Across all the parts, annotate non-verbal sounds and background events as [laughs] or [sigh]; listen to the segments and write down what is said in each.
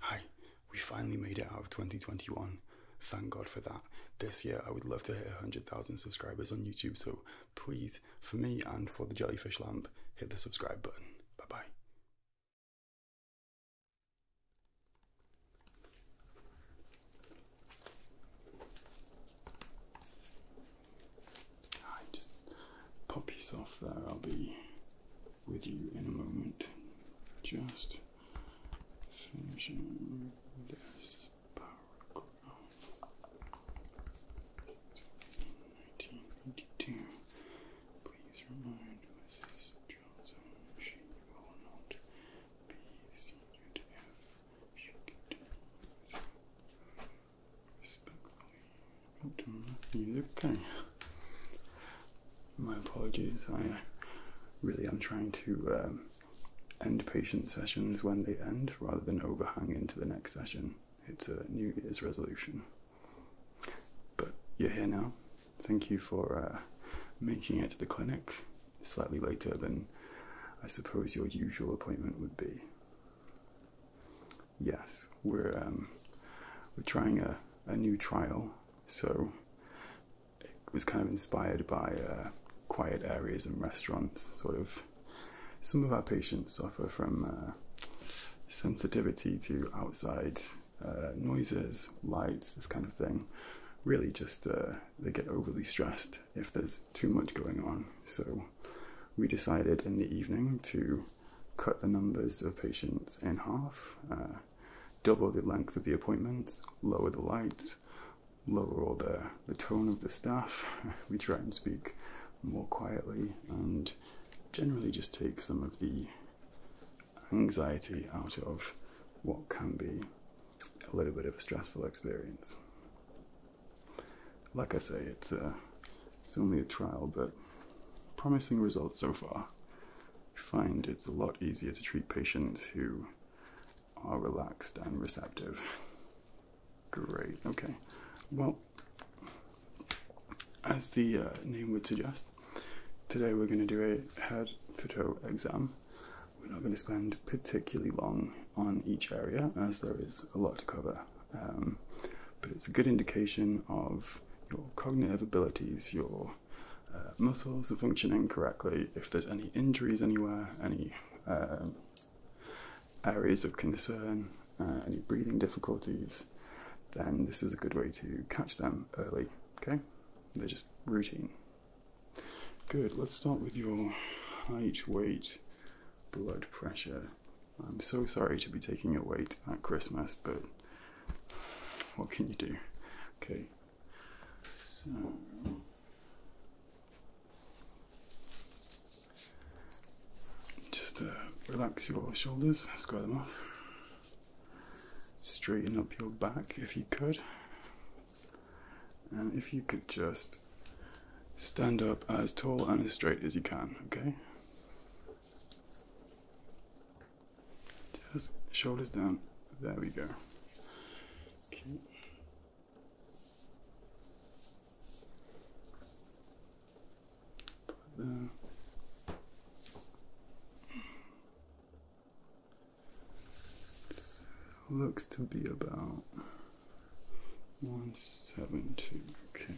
Hi, we finally made it out of 2021. Thank God for that. This year, I would love to hit 100,000 subscribers on YouTube, so please, for me and for the Jellyfish Lamp, hit the subscribe button. Bye bye. Hi, just pop yourself there, I'll be with you in a moment. Just finishing this paragraph. 1922. Please remind Mrs. Johnson she will not be seated if she continues. Respectfully, what My apologies. I really am trying to um, end patient sessions when they end rather than overhang into the next session. It's a New Year's resolution. But you're here now. Thank you for uh, making it to the clinic slightly later than I suppose your usual appointment would be yes, we're um, we're trying a, a new trial. So it was kind of inspired by uh, quiet areas and restaurants. Sort of, some of our patients suffer from uh, sensitivity to outside uh, noises, lights, this kind of thing. Really, just they get overly stressed if there's too much going on. So we decided in the evening to cut the numbers of patients in half, uh, double the length of the appointments, lower the lights, lower all the, the tone of the staff. [laughs] we try and speak more quietly and generally just take some of the anxiety out of what can be a little bit of a stressful experience. Like I say, it's uh, it's only a trial, but promising results so far. I find it's a lot easier to treat patients who are relaxed and receptive. Great, okay. Well, as the uh, name would suggest, today we're going to do a head to toe exam. We're not going to spend particularly long on each area as there is a lot to cover, um, but it's a good indication of your cognitive abilities, your uh, muscles are functioning correctly, if there's any injuries anywhere, any um, areas of concern, uh, any breathing difficulties, then this is a good way to catch them early. Okay, they're just routine. Good, let's start with your height, weight, blood pressure, I'm so sorry to be taking your weight at Christmas, but what can you do? Okay, just uh, relax your shoulders, square them off, straighten up your back if you could, and if you could just stand up as tall and as straight as you can, okay? shoulders down. There we go. Looks to be about one seven two. Okay.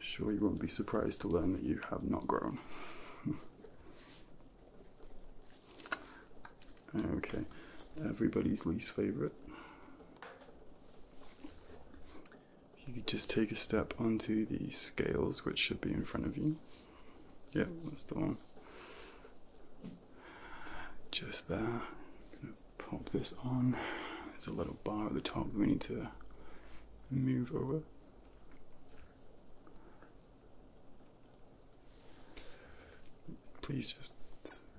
Sure, you won't be surprised to learn that you have not grown. [laughs] okay, everybody's least favorite. You could just take a step onto the scales, which should be in front of you. Yep, that's the one. Just there pop this on. There's a little bar at the top we need to move over. Please just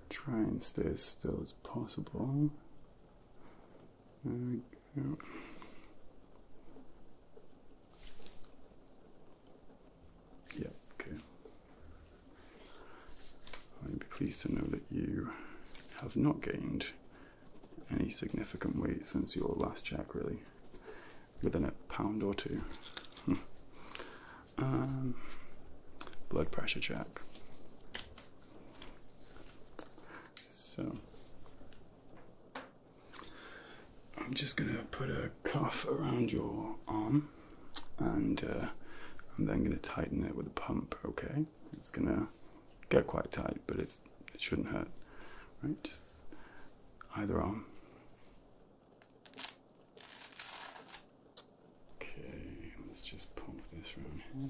try and stay as still as possible. There we okay. I'd be pleased to know that you have not gained any significant weight since your last check, really. Within a pound or two. [laughs] Um, blood pressure check. So, I'm just gonna put a cuff around your arm and uh, I'm then going to tighten it with a pump. Okay, it's going to get quite tight, but it shouldn't hurt. Right, just either arm. Okay, let's just pump this around here.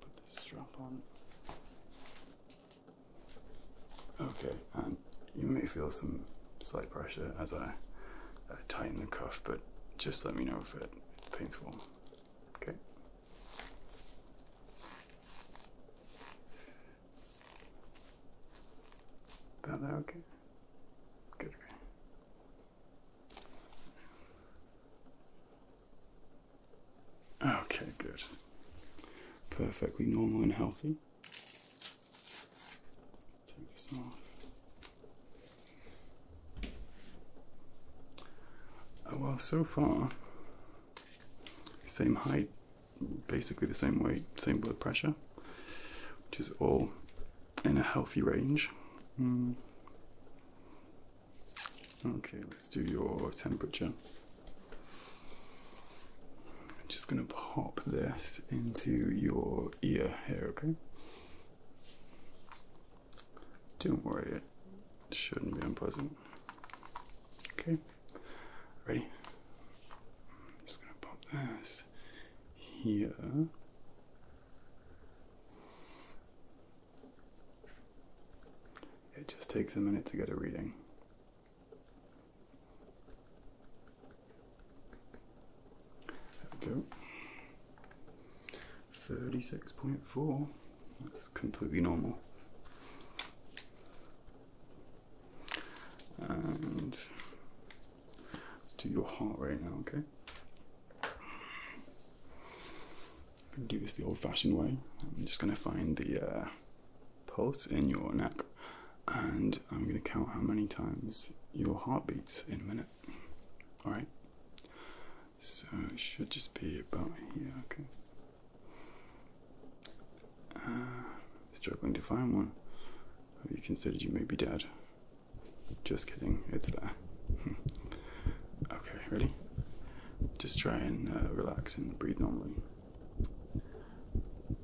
Put this strap on. Okay, and you may feel some slight pressure as I tighten the cuff, but just let me know if it's painful. Okay. About that okay? Good, okay. Okay, good. Perfectly normal and healthy. Oh, well, so far, same height, basically the same weight, same blood pressure, which is all in a healthy range. Hmm. Okay, let's do your temperature. I'm just going to pop this into your your ear here, okay? Don't worry, it shouldn't be unpleasant. Okay, ready? just gonna pop this here. It just takes a minute to get a reading. There we go. 36.4. That's completely normal. And let's do your heart rate now, okay? I'm gonna do this the old fashioned way. I'm just gonna find the uh, pulse in your neck and I'm going to count how many times your heart beats in a minute. Alright? So it should just be about here, okay? Uh, struggling to find one. Have you considered you may be dead? Just kidding, it's there. [laughs] okay, ready? Just try and uh, relax and breathe normally.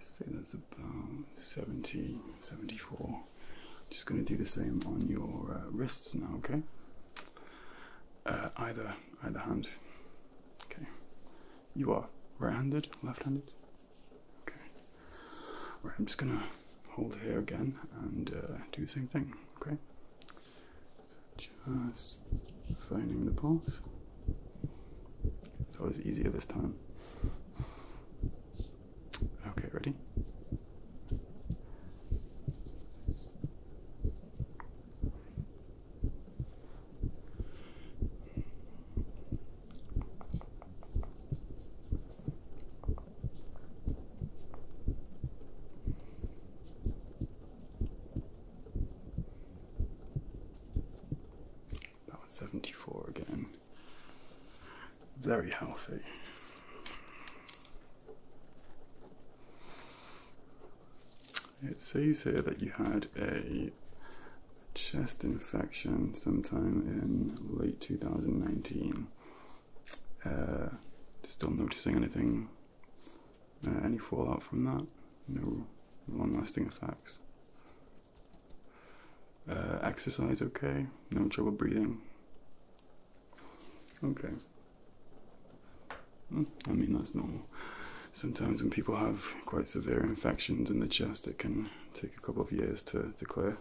say that's about um, 70, 74. Just going to do the same on your uh, wrists now, okay? Uh, either, either hand. Okay. You are right-handed, left-handed. Okay. Right, I'm just going to hold here again and uh, do the same thing, okay? So just finding the pulse. It's always easier this time. Okay, ready? That was 74 again. Very healthy. It says here that you had a chest infection sometime in late 2019. Uh, still noticing anything, uh, any fallout from that? No long lasting effects. Uh, exercise okay, no trouble breathing. Okay. Hmm, I mean, that's normal. Sometimes when people have quite severe infections in the chest, it can take a couple of years to, to clear.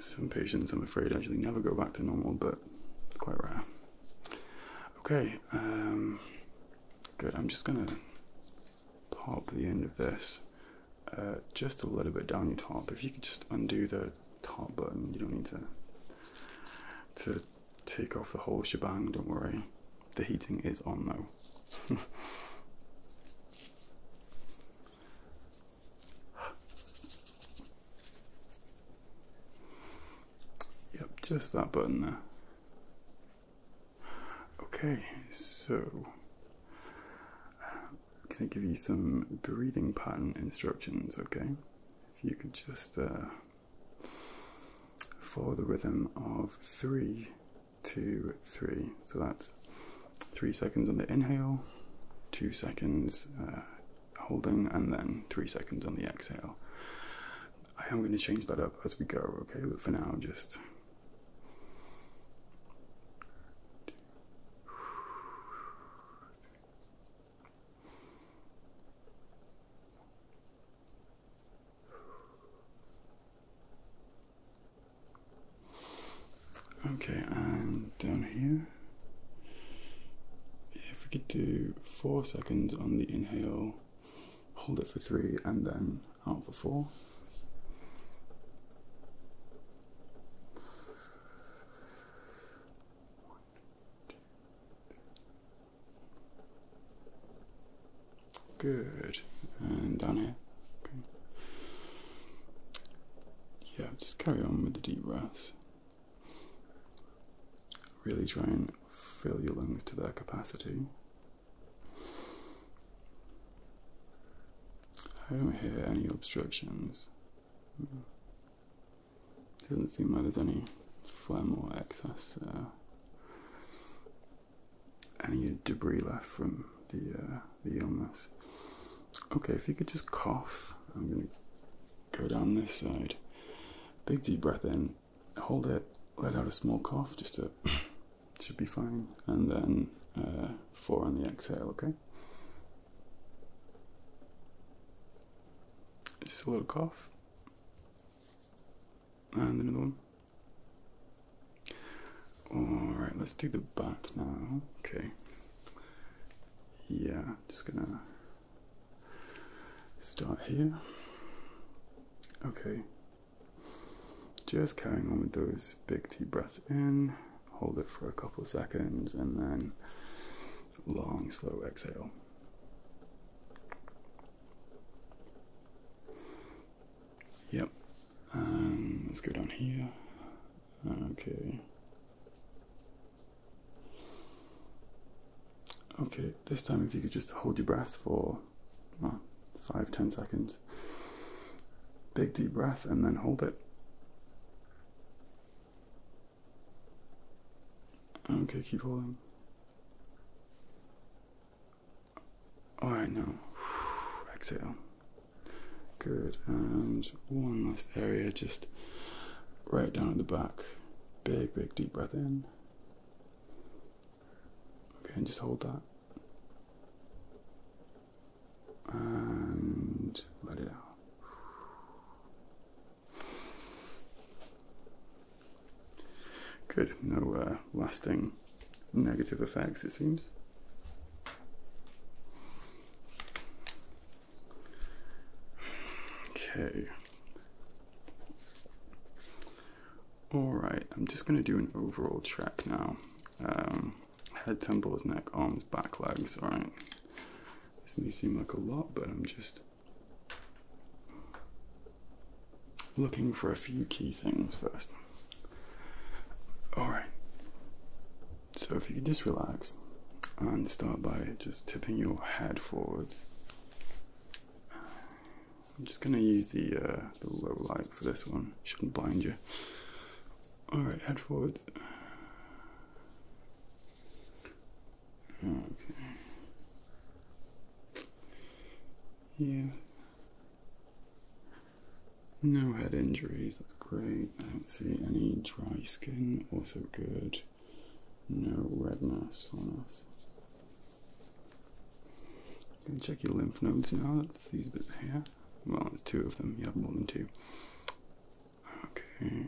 Some patients, I'm afraid, actually never go back to normal, but quite rare. Okay, um, good. I'm just gonna pop the end of this uh, just a little bit down your top. If you could just undo the top button, you don't need to to take off the whole shebang. Don't worry, the heating is on though. [laughs] yep, just that button there. Okay, so uh, I'm gonna give you some breathing pattern instructions? Okay, if you could just uh, follow the rhythm of three, two, three. So that's three seconds on the inhale, two seconds uh, holding, and then three seconds on the exhale. I am going to change that up as we go, okay, but for now, just Okay, and down here, if we could do four seconds on the inhale, hold it for three, and then out for four. Good, and done. here. Yeah, just carry on with the deep breaths. Really try and fill your lungs to their capacity. I don't hear any obstructions. Doesn't seem like there's any phlegm or excess, uh, any debris left from the uh, the illness. Okay, if you could just cough, I'm gonna go down this side. Big deep breath in, hold it, let out a small cough, just a should be fine. And then uh, four on the exhale, okay? Just a little cough. And another one. Alright, let's do the back now. Okay. Yeah, just gonna start here. Okay, just carrying on with those big deep breaths in, hold it for a couple seconds, and then long, slow exhale. Yep. Um, let's go down here. Okay. Okay, this time if you could just hold your breath for five, ten seconds. Big deep breath and then hold it. Okay, keep holding. Alright, now [sighs] exhale. Good, and one last area, just right down at the back. Big, big deep breath in. Okay, and just hold that. And let it out. Good, no uh, lasting negative effects, it seems. Okay. All right, I'm just gonna do an overall check now. Um, head, temples, neck, arms, back, legs, all right. This may seem like a lot, but I'm just looking for a few key things first. All right, so if you could just relax and start by just tipping your head forwards I'm just going to use the, uh, the low light for this one. Shouldn't blind you. All right, head forward. Okay. Yeah. No head injuries, that's great. I don't see any dry skin, also good. No redness on us can check your lymph nodes now. That's these bits here. Well, it's two of them. You have more than two. Okay.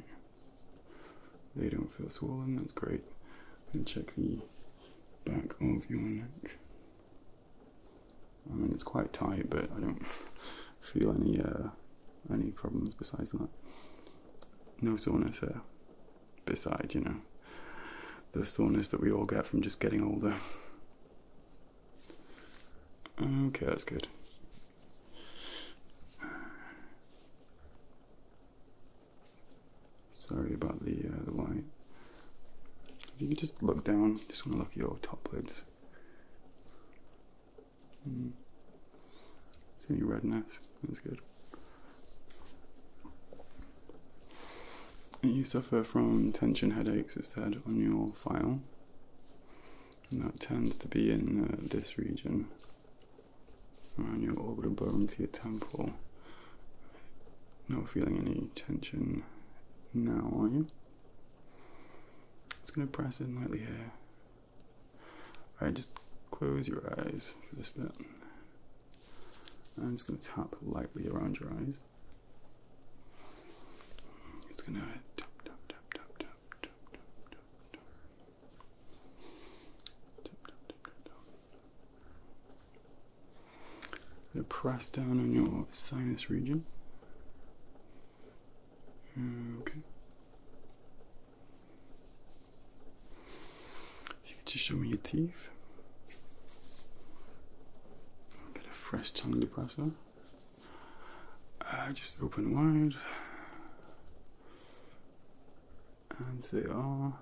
They don't feel swollen. That's great. And check the back of your neck. I mean, it's quite tight, but I don't [laughs] feel any uh, any problems besides that. No soreness there. Besides, you know, the soreness that we all get from just getting older. Okay, that's good. Sorry about the uh, the light. If you could just look down, just want to look your top lids. Hmm. See any redness? That's good. You suffer from tension headaches, it said on your file. And that tends to be in uh, this region, around your orbital bone to your temple. Not feeling any tension now, are you? It's going to press in lightly here. Alright, just close your eyes for this bit. I'm just going to tap lightly around your eyes. It's gonna tap tap tap tap tap tap tap tap tap tap tap tap tap. Gonna press down on your sinus region. Okay. If you could just show me your teeth believe. A bit of fresh tongue depressor. Uh, just open wide. And they are. Ah.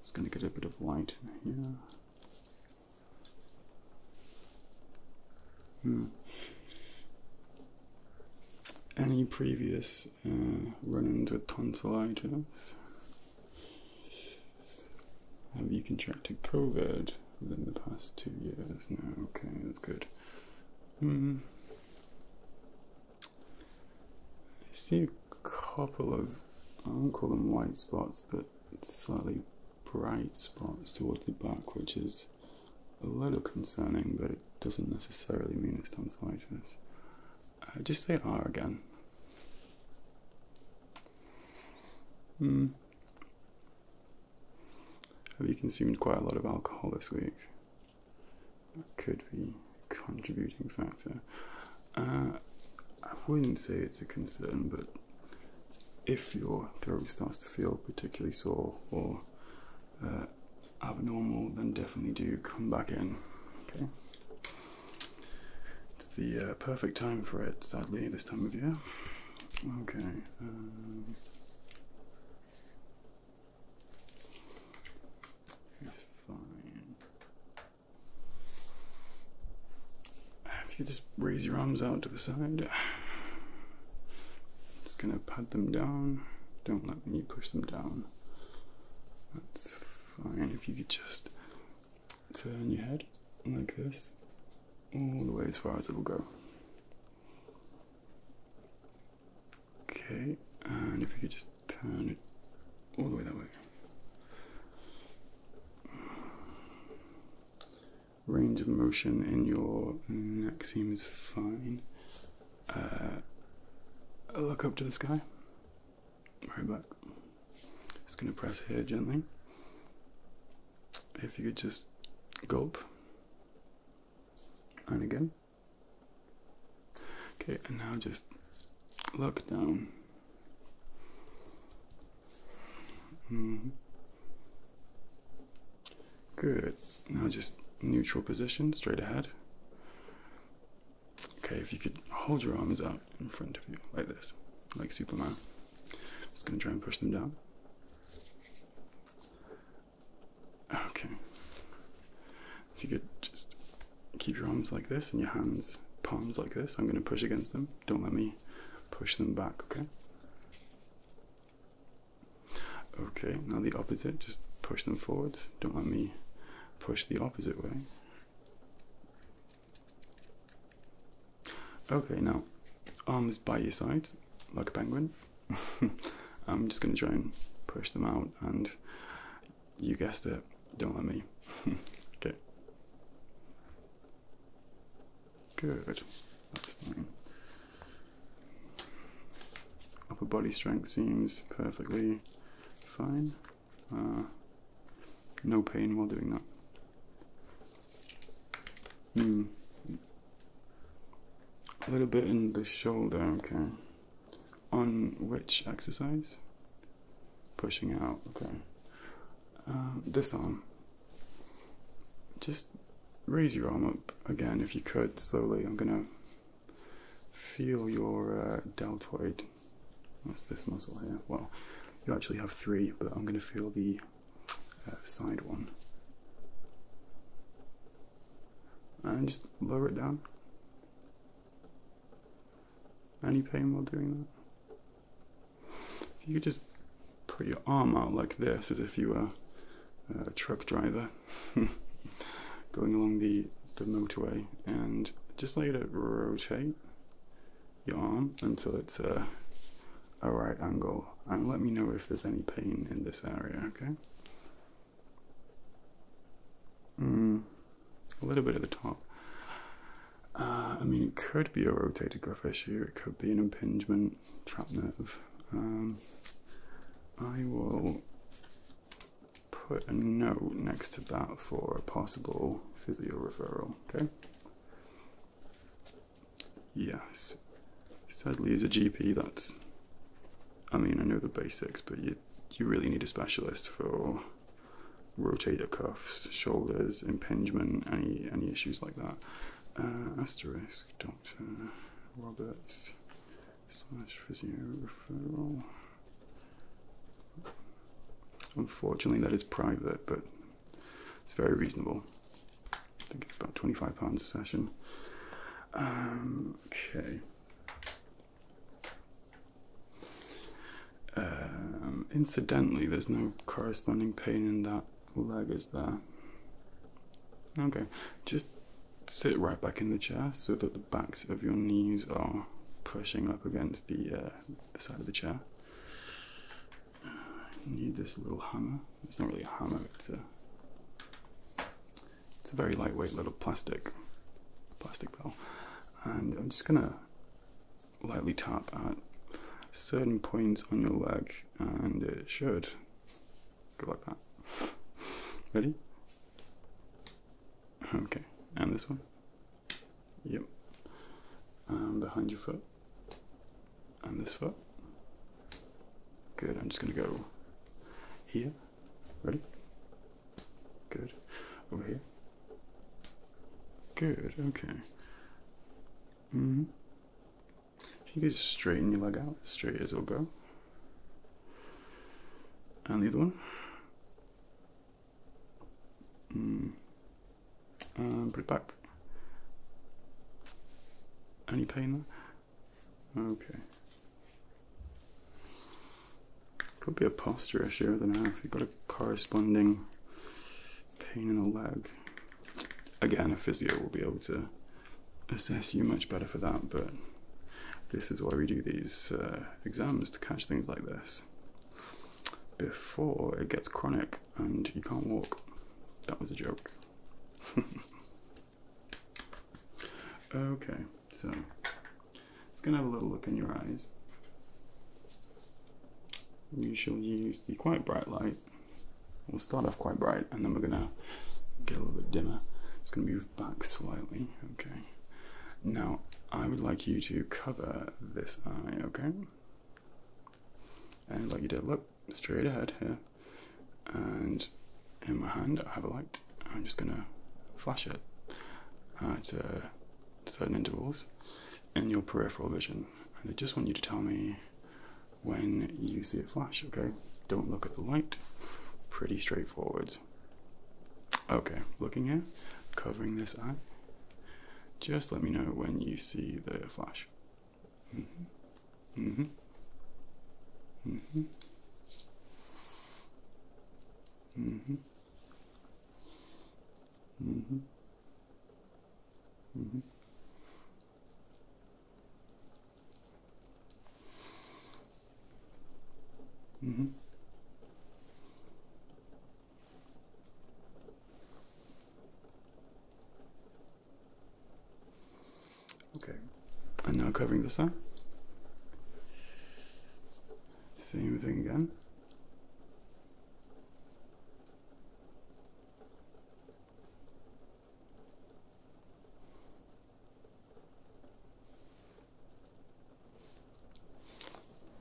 It's going to get a bit of light in here. Hmm. Any previous uh, run into with tonsillitis. Have um, you contracted COVID within the past two years? No, okay, that's good. Mm. I see a couple of, I don't call them white spots, but slightly bright spots towards the back, which is a little concerning, but it doesn't necessarily mean it's tonsillitis. I just say R again. Hmm. Have you consumed quite a lot of alcohol this week? That could be a contributing factor. Uh, I wouldn't say it's a concern, but if your throat starts to feel particularly sore or uh, abnormal, then definitely do come back in. Okay. It's the uh, perfect time for it, sadly, this time of year. Okay. Um, it's fine. If you just raise your arms out to the side, just gonna pat them down. Don't let me push them down. Fine, if you could just turn your head like this, all the way as far as it will go. Okay, and if you could just turn it all the way that way. Range of motion in your neck is fine. Uh, look up to the sky right back. Just gonna press here gently. If you could just gulp and again. Okay, and now just look down. -hmm. Good. Now just neutral position, straight ahead. Okay, if you could hold your arms out in front of you like this, like Superman. Just gonna try and push them down. Okay. If you could just keep your arms like this and your hands, palms like this, I'm gonna push against them. Don't let me push them back, okay? Okay, now the opposite, just push them forwards. Don't let me push the opposite way. Okay, now arms by your sides, like a penguin. [laughs] I'm just gonna try and push them out, and you guessed it, don't let me. [laughs] okay. Good, that's fine. Upper body strength seems perfectly fine. Uh, no pain while doing that. Mm. A little bit in the shoulder, okay. On which exercise? Pushing out, okay. Uh, this arm. Just raise your arm up again if you could slowly. I'm gonna feel your uh, deltoid that's this muscle here. Well, you actually have three, but I'm going to feel the uh, side one. And just lower it down. Any pain while doing that? you just put your arm out like this, as if you were uh, a truck driver, [laughs] going along the the motorway and just let it rotate your arm until it's a, a right angle and let me know if there's any pain in this area, okay? Mm, a little bit at the top. Uh, I mean, it could be a rotator cuff issue, it could be an impingement, trap nerve. Um, I will put a note next to that for a possible physio referral, okay? Yes. Sadly, as a GP, that's. I mean, I know the basics, but you, you really need a specialist for rotator cuffs, shoulders, impingement, any, any issues like that. Uh, asterisk, Dr. Roberts slash physio referral. Unfortunately, that is private, but it's very reasonable. I think it's about £25 a session. Um, okay. Um, incidentally, there's no corresponding pain in that leg, is there? Okay, just sit right back in the chair so that that the backs of your knees are pushing up against the, uh, side of the chair. I need this little hammer. It's not really a hammer, it's it's a very lightweight little plastic plastic bell. And I'm just gonna lightly tap at certain points on your leg and it should go like that. [laughs] Ready? Okay, and this one. Yep. And behind your foot. And this foot. Good, I'm just gonna go here. Ready? Good. Over here. Good, okay. Mm -hmm. If you could straighten your leg out, straight as it'll go. And the other one. Mm. And um, put it back. Any pain there? Okay. Could be a posture issue, I if you've got a corresponding pain in the leg. Again, a physio will be able to assess you much better for that, but this is why we do these uh, exams to catch things like this before it gets chronic and you can't walk. That was a joke. [laughs] okay, so it's gonna have a little look in your eyes. We shall use the quite bright light. We'll start off quite bright and then we're gonna get a little bit dimmer. It's gonna be back slightly, okay? Now, I would like you to cover this eye, okay? And like you did, look straight ahead here. And in my hand, I have a light. I'm just gonna flash it at uh, certain intervals in your peripheral vision. And I just want you to tell me when you see a flash, okay? Don't look at the light. Pretty straightforward. Okay, looking at, covering this eye. Just let me know when you see the flash. hmm. hmm. hmm. hmm. hmm. hmm. Mm-hmm. Okay, and now covering this up. Same thing again.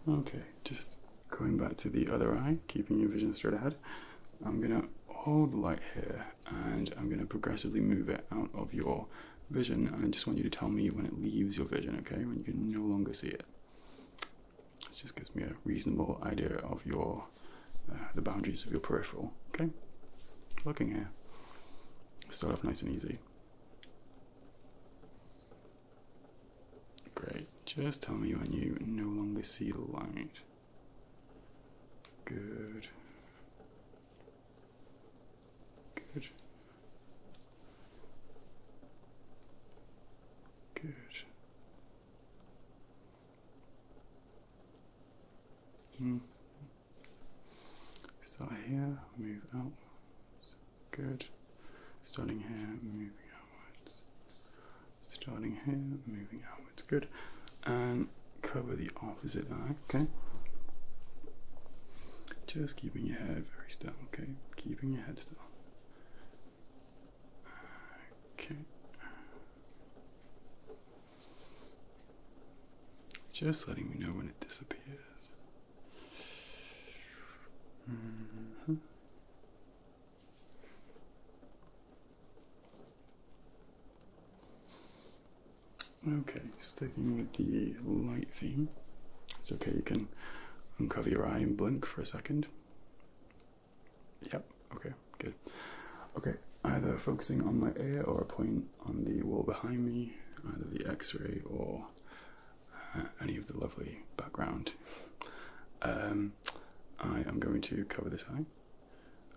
Okay, just going back to the other eye, keeping your vision straight ahead. I'm going to hold the light here and I'm going to progressively move it out of your vision. And I just want you to tell me when it leaves your vision, okay? When you can no longer see it. This just gives me a reasonable idea of your uh, the boundaries of your peripheral, okay? Looking here. Start off nice and easy. Great. Just tell me when you no longer see the light. Good. Good. Good. Mm. Start here, move out. Good. Starting here, moving outwards. Starting here, moving outwards. Good. And cover the opposite eye, okay? Just keeping your head very still, okay? Keeping your head still. Okay. Just letting me know when it disappears. Mm-hmm. Okay, sticking with the light theme. It's okay, you can uncover your eye and blink for a second. Yep, okay, good. Okay, either focusing on my ear or a point on the wall behind me, either the x ray or uh, any of the lovely background. Um, I am going to cover this eye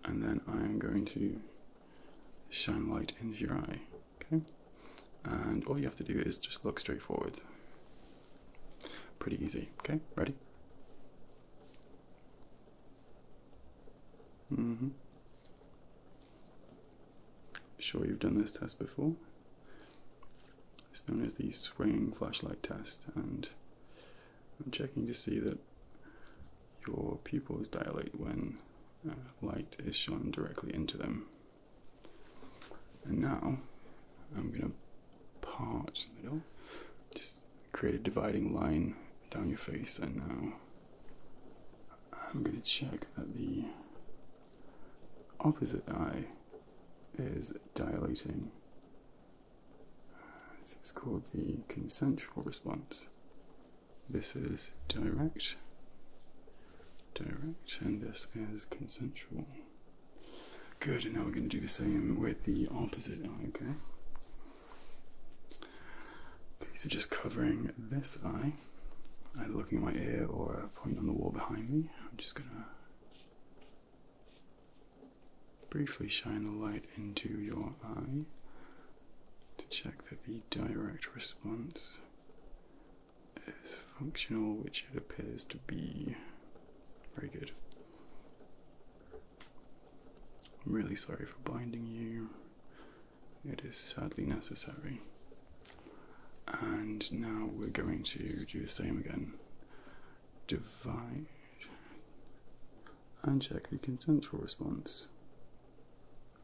and then I am going to shine light into your eye. Okay? And all you have to do is just look straight forwards. Pretty easy. Okay, ready? Mm hmm sure you've done this test before. It's known as the swinging flashlight test, and I'm checking to see that your pupils dilate when uh, light is shone directly into them. And now I'm going to part the middle, just create a dividing line down your face, and now I'm going to check that the opposite eye is dilating. This is called the consensual response. This is direct, direct, and this is consensual. Good, and now we're going to do the same with the opposite eye, okay? Okay, so just covering this eye either looking at my ear or a point on the wall behind me. I'm just going to briefly shine the light into your eye to check that the direct response is functional, which it appears to be. Very good. I'm really sorry for blinding you. It is sadly necessary. And now we're going to do the same again. Divide and check the consensual response,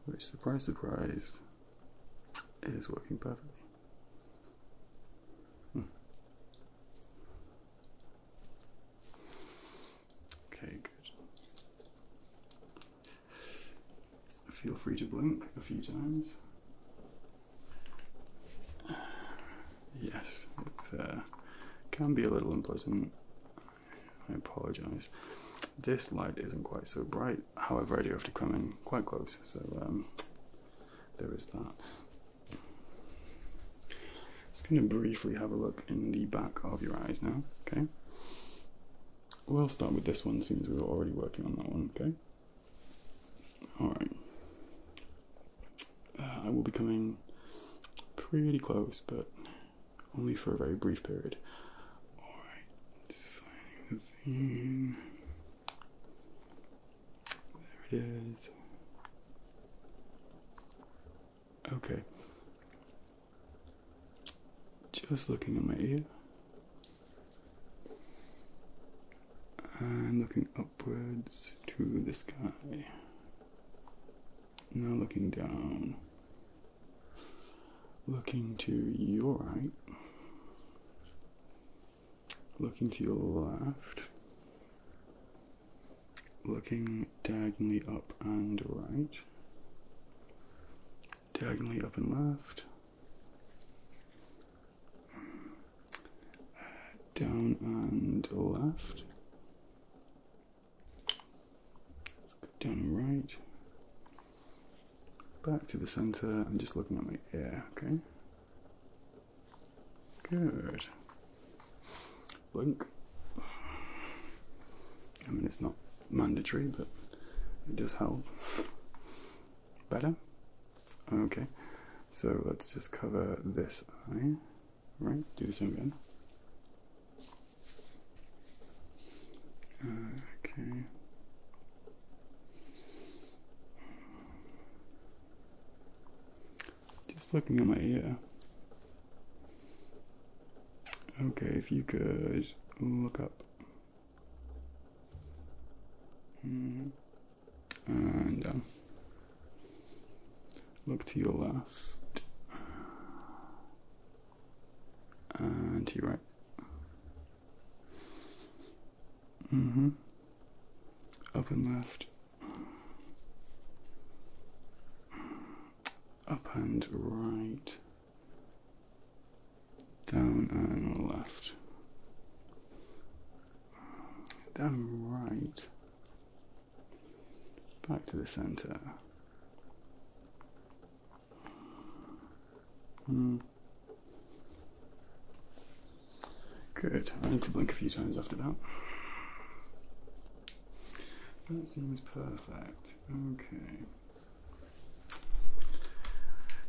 which, surprised. surprise, is working perfectly. Hmm. Okay, good. Feel free to blink a few times. Yes, it uh, can be a little unpleasant. I apologise. This light isn't quite so bright, however, I do have to come in quite close, so um, there is that. Just going to briefly have a look in the back of your eyes now, okay? We'll start with this one, since we were already working on that one, okay? Alright. Uh, I will be coming pretty close, but only for a very brief period. Alright, just finding the thing. There it is. Okay. Just looking at my ear and looking upwards to the sky. Now looking down, looking to your right, looking to your left, looking diagonally up and right, diagonally up and left, down and left. Let's go down right. Back to the center. I'm just looking at my ear, okay? Good. Blink. I mean, it's not mandatory, but it does help. Better? Okay, so let's just cover this eye. Right, do the same again. Okay. Just looking at my ear. Okay, if you guys look up and um, Look to your left and to your right. hmm Up and left. Up and right down and left, down right, back to the center. Hmm. Good. I need to blink a few times after that. That seems perfect. Okay.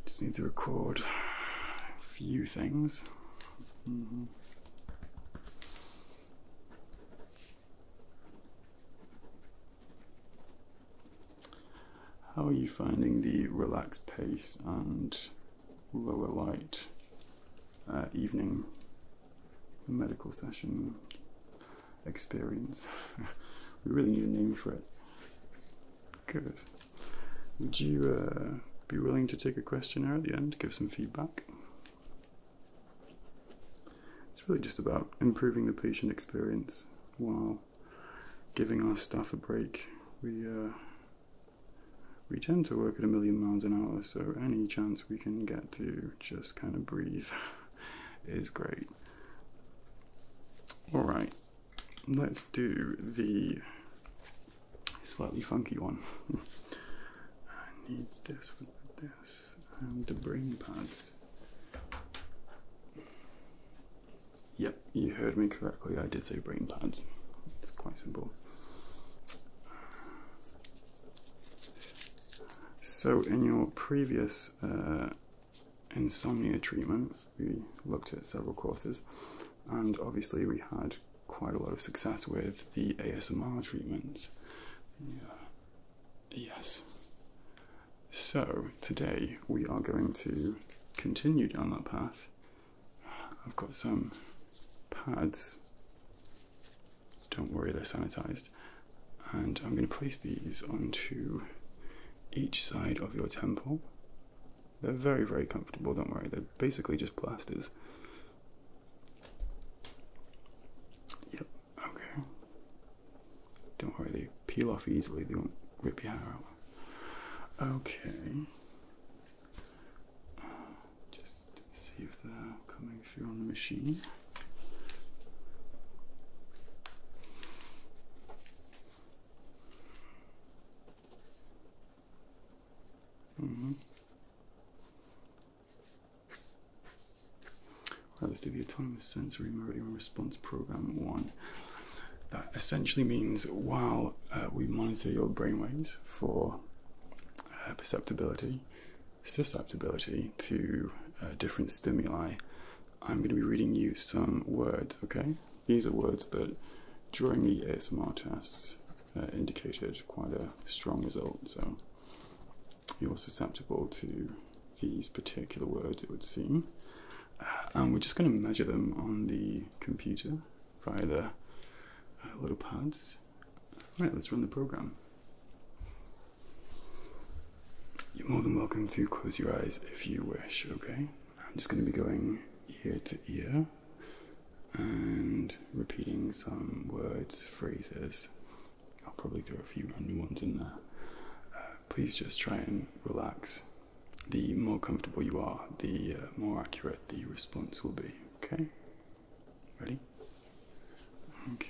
Just need to record a few things. Mm-hmm. How are you finding the relaxed pace and lower light uh, evening medical session? experience. [laughs] we really need a name for it. Good. Would you uh, be willing to take a questionnaire at the end give some feedback? It's really just about improving the patient experience while giving our staff a break. We uh, we tend to work at a million miles an hour, so any chance we can get to just kind of breathe [laughs] is great. All right, let's do the slightly funky one. [laughs] I need this with this and the brain pads. Yep, you heard me correctly. I did say brain pads. It's quite simple. So in your previous uh, insomnia treatment. We looked at several courses, and obviously, we had quite a lot of success with the ASMR treatments. Yes. So, today we are going to continue down that path. I've got some pads. Don't worry, they're sanitized and I'm going to place these onto each side of your temple. They're very, very comfortable, don't worry, they're basically just plasters. Yep, okay. Don't worry, they peel off easily, they won't rip your hair out. Okay. Just see if they're coming through on the machine. Mm-hmm. let's do the autonomous sensory meridian response program one. That essentially means while uh, we monitor your brainwaves for uh, perceptibility, susceptibility to uh, different stimuli, I'm going to be reading you some words, okay? These are words that during the ASMR tests uh, indicated quite a strong result, so you're susceptible to these particular words, it would seem. Uh, and we're just going to measure them on the computer via the uh, little pads. All let's run the program. You're more than welcome to close your eyes if you wish, okay? I'm just going to be going ear to ear and repeating some words, phrases. I'll probably throw a few random ones in there. Uh, please just try and relax. The more comfortable you are, the uh, more accurate the response will be, okay? Ready? Okay.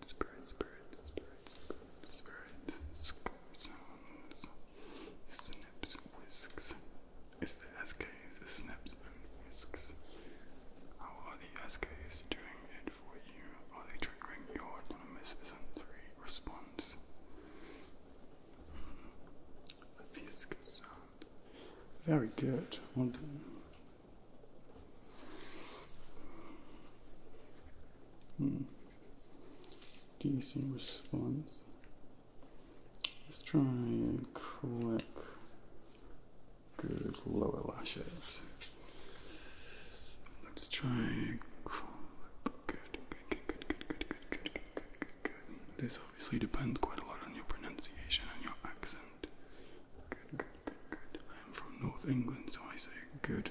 spirit, spirit, spirit, spirit, spirit, sk sounds, snips, whisks. It's the SKs, the snips and whisks. How are the SKs doing it for you? Are they triggering your autonomous sensory response? Let's see sound. Very good. Well done. Mm decent response. Let's try and quick good lower lashes. Let's try good, good, good, good, good, good, good, good, good, good. This obviously depends quite a lot on your pronunciation and your accent. Good, good, good, good. I am from North England, so I say good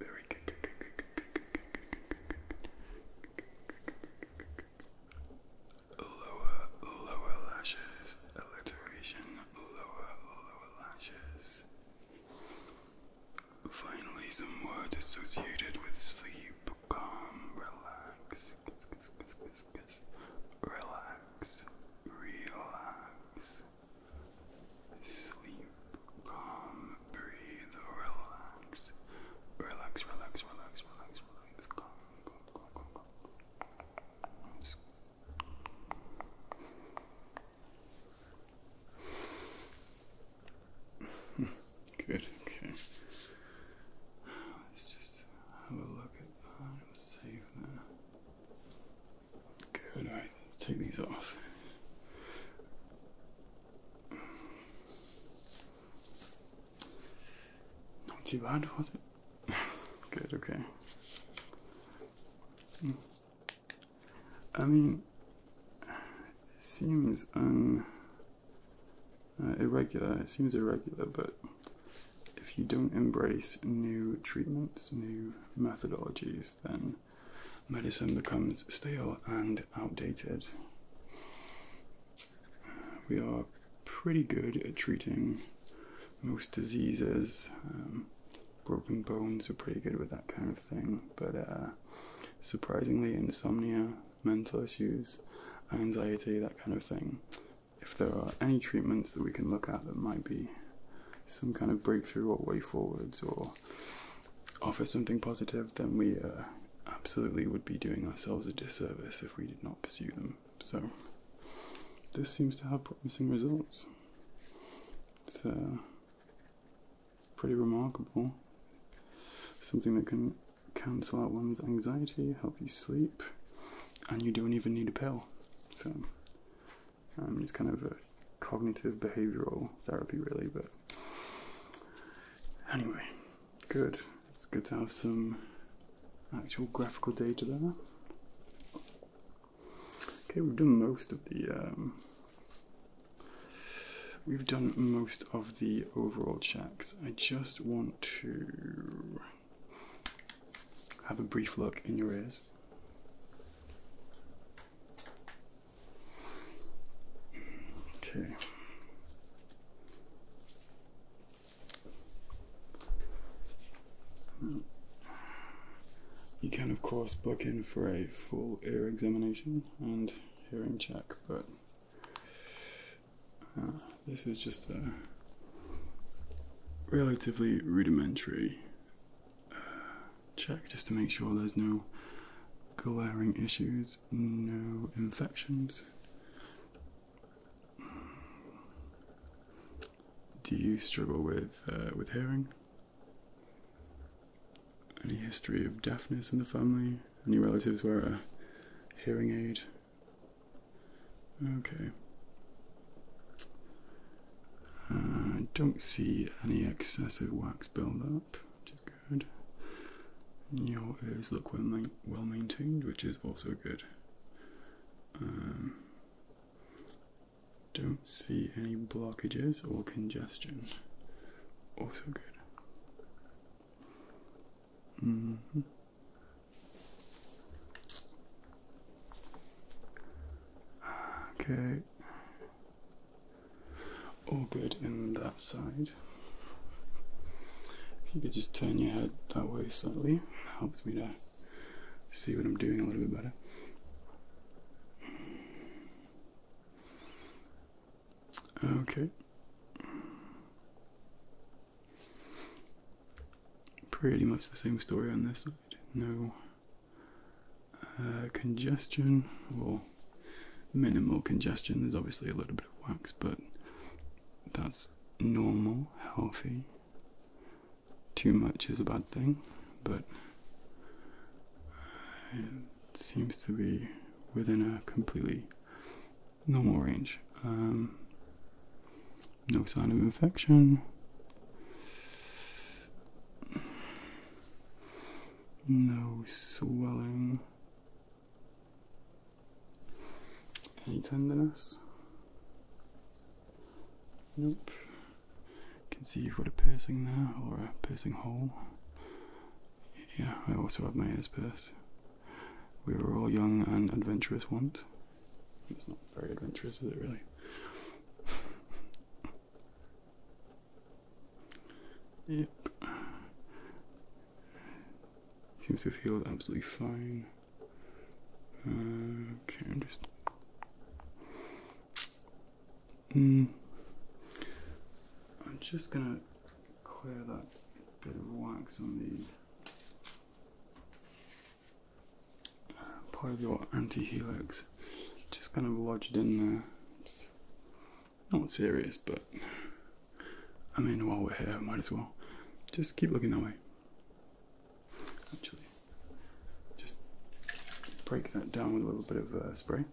Very good, good, Lower, lower lashes, alliteration, lower, lower lashes. Finally, some words associated with sleep, calm, relax, relax, relax. Sleep, calm, breathe, relax. Relax, relax, relax, relax, relax. Calm, calm, calm, calm, [laughs] Good, okay. Let's just have a look at I uh, will Save that. Good, alright, let's take these off. Not too bad, was it? [laughs] Good, okay. Hmm. I mean, it seems um, irregular, it seems irregular, but if you don't embrace new treatments, new methodologies, then medicine, becomes stale and outdated. We are pretty good at treating most diseases. Um, broken bones are pretty good with that kind of thing, but uh, surprisingly, insomnia, mental issues, anxiety, that kind of thing. If there are any treatments that we can look at that might be some kind of breakthrough or way forwards or offer something positive, then we uh, absolutely would be doing ourselves a disservice if we did not pursue them. So, this seems to have promising results. It's uh, pretty remarkable. Something that can cancel out one's anxiety, help you sleep, and you don't even need a pill. So, um, it's kind of a cognitive behavioral therapy, really. But anyway, good. It's good to have some actual graphical data there. Okay, we've done most of the um, we've done most of the overall checks. I just want to have a brief look in your ears. Okay. You can, of course, book in for a full ear examination and hearing check, but uh, this is just a relatively rudimentary check just to make sure there's no glaring issues, no infections. Do you struggle with uh, with hearing? Any history of deafness in the family? Any relatives wear a hearing aid? Okay. Uh, I don't see any excessive wax buildup, which is good. And your ears look well, maintained, which is also good. Um, don't see any blockages or congestion, also good. Mm-hmm. Okay, all good in that side. If you could just turn your head that way slightly, helps me to see what I'm doing a little bit better. Okay. Pretty much the same story on this side. No uh, congestion, well, minimal congestion. There's obviously a little bit of wax, but that's normal, healthy. Too much is a bad thing, but uh, seems to be within a completely normal range. Um, no sign of infection no swelling, any tenderness. Nope. Can see you've got a piercing there, or a piercing hole. Yeah, I also have my ears pierced. We were all young and adventurous once. It's not very adventurous, is it really? [laughs] Yep. Seems to have healed absolutely fine. okay, I'm just. Mm. I'm just gonna clear that bit of wax on the part of your anti-helix just kind of lodged in there. not serious, but I mean, while we're here, might as well just keep looking that way. Actually, just break that down with a little bit of uh, spray.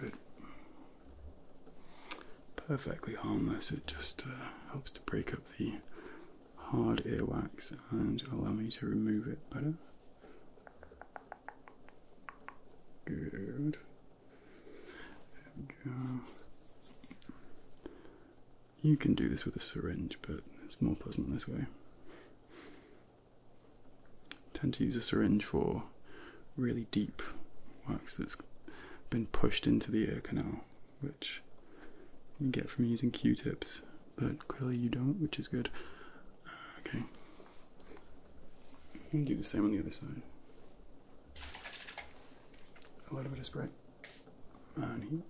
Good perfectly harmless. It just uh, helps to break up the hard earwax and allow me to remove it better. Good. There we go. You can do this with a syringe, but it's more pleasant this way. I tend to use a syringe for really deep wax that's been pushed into the ear canal which you get from using Q-tips, but clearly you don't, which is good. Uh, okay, do the same on the other side. A little bit of spray on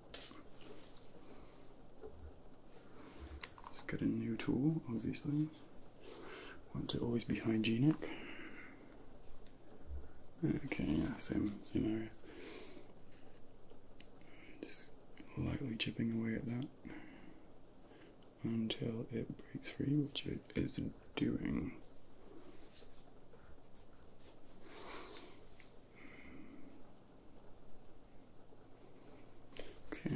Let's get a new tool, obviously. Want to always be hygienic. Okay, yeah, same, same area. Just lightly chipping away at that until it breaks free, which it is doing. Okay.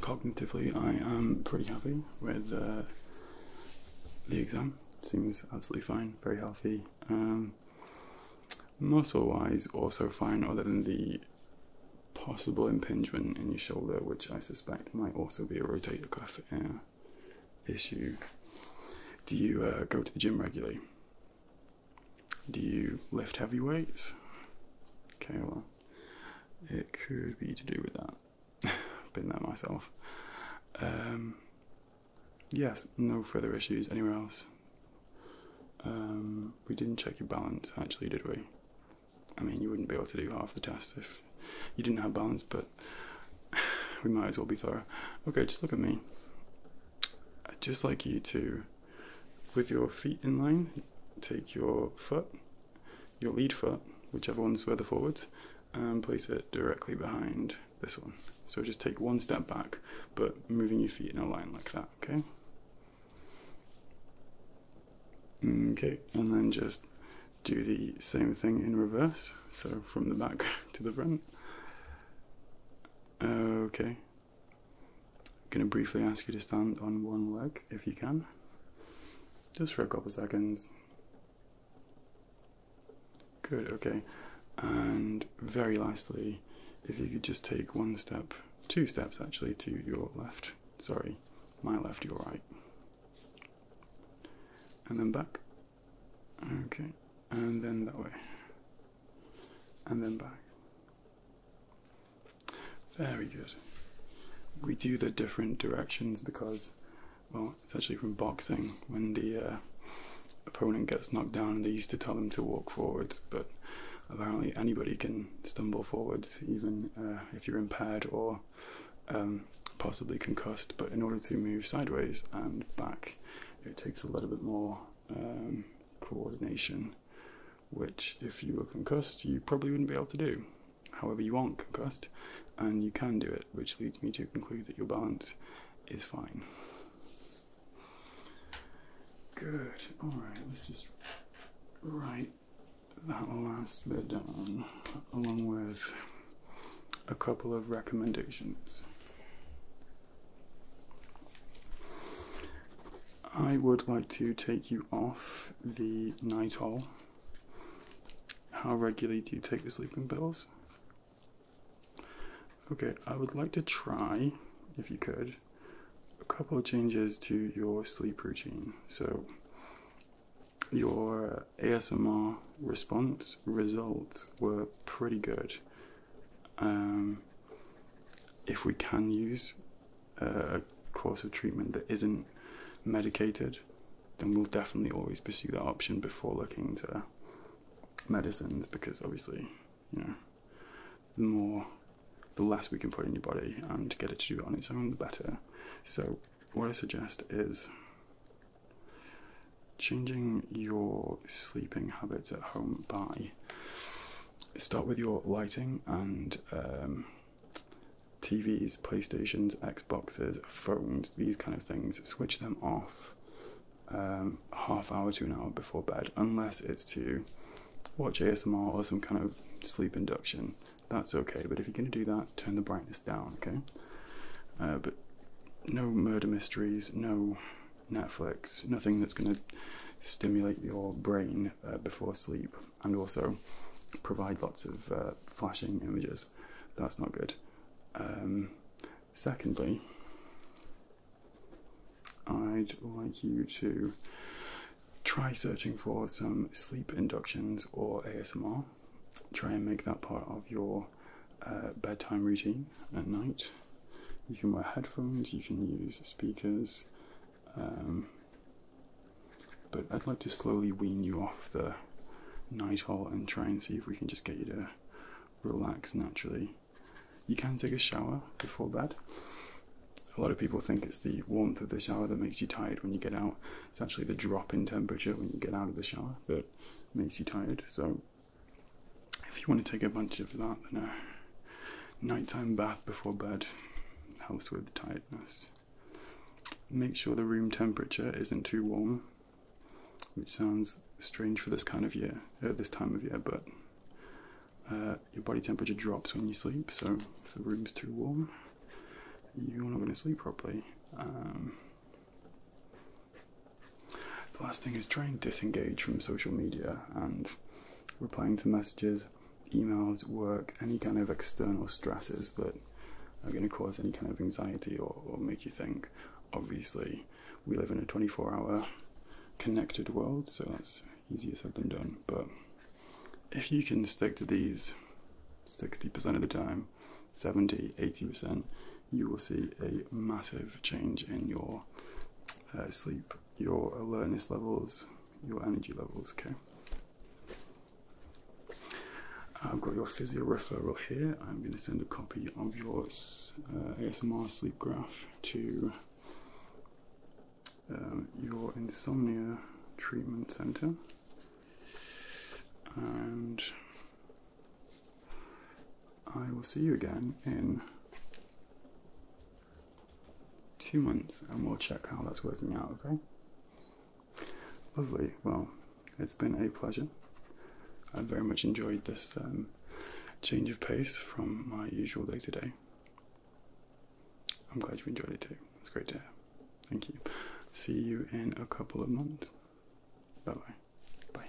Cognitively, I am pretty happy with uh, the exam. Seems absolutely fine, very healthy. Um, muscle wise, also fine, other than the possible impingement in your shoulder, which I suspect might also be a rotator cuff uh, issue. Do you uh, go to the gym regularly? Do you lift heavy weights? Okay, it could be to do with that. I've [laughs] Been there myself. Um, yes, no further issues anywhere else. Um, we didn't check your balance actually, did we? I mean, you wouldn't be able to do half the test if you didn't have balance, but [laughs] we might as well be thorough. Okay, just look at me. I'd just like you to with your feet in line, take your foot, your lead foot, whichever one's further forwards, and place it directly behind this one. So just take one step back, but moving your feet in a line like that, okay? Okay, and then just do the same thing in reverse, so from the back [laughs] to the front. Okay, I'm going to briefly ask you to stand on one leg if you can, just for a couple seconds. Good, okay. And very lastly, if you could just take one step, two steps actually, to your left. Sorry, my left, your right. And then back. Okay, and then that way. And then back. Very good. We do the different directions because, well, it's actually from boxing when the uh, opponent gets knocked down, they used to tell them to walk forwards, but apparently anybody can stumble forwards, even uh, if you're impaired or um, possibly concussed. But in order to move sideways and back, it takes a little bit more. Um, coordination, which if you were concussed, you probably wouldn't be able to do. However, you aren't concussed and you can do it, which leads me to conclude that your balance is fine. Good, alright, let's just write that last bit down along with a couple of recommendations. I would like to take you off the night all. How regularly do you take the sleeping pills? Okay, I would like to try, if you could, a couple of changes to your sleep routine. So, your ASMR response results were pretty good. Um, if we can use a course of treatment that isn't medicated, then we'll definitely always pursue that option before looking to medicines because obviously, you know, the more, the less we can put in your body and to get it to do it on its own, the better. So, what I suggest is changing your sleeping habits at home by start with your lighting and um, TVs, PlayStations, Xboxes, phones, these kind of things. Switch them off um, half hour to an hour before bed, unless it's to watch ASMR or some kind of sleep induction. That's okay, but if you're going to do that, turn the brightness down, okay? Uh, but no murder mysteries, no Netflix, nothing that's going to stimulate your brain uh, before sleep and also provide lots of uh, flashing images. That's not good. Um, secondly, I'd like you to try searching for some sleep inductions or ASMR. Try and make that part of your uh, bedtime routine at night. You can wear headphones, you can use speakers, um, but I'd like to slowly wean you off the night halt and try and see if we can just get you to relax naturally. You can take a shower before bed. A lot of people think it's the warmth of the shower that makes you tired when you get out. It's actually the drop in temperature when you get out of the shower that makes you tired. So, if you want to take advantage of that, then uh, nighttime bath before bed helps with tiredness. Make sure the room temperature isn't too warm, which sounds strange for this kind of year, at uh, this time of year, but uh, your body temperature drops when you sleep, so if the room's too warm, you're not going to sleep properly. Um, the last thing is try and disengage from social media and replying to messages, emails, work, any kind of external stresses that are going to cause any kind of anxiety or, make you think. Obviously, we live in a 24 hour connected world, so that's easier said than done. But if you can stick to these 60% of the time, 70, 80%, you will see a massive change in your uh, sleep your alertness levels, your energy levels. Okay. I've got your physio referral here. I'm going to send a copy of your uh, ASMR sleep graph to um, your insomnia treatment center. And I will see you again in two months and we'll check how that's working out, okay? Lovely. Well, it's been a pleasure. I very much enjoyed this um, change of pace from my usual day to day. I'm glad you enjoyed it too. It's great to have. Thank you. See you in a couple of months. Bye bye. Bye.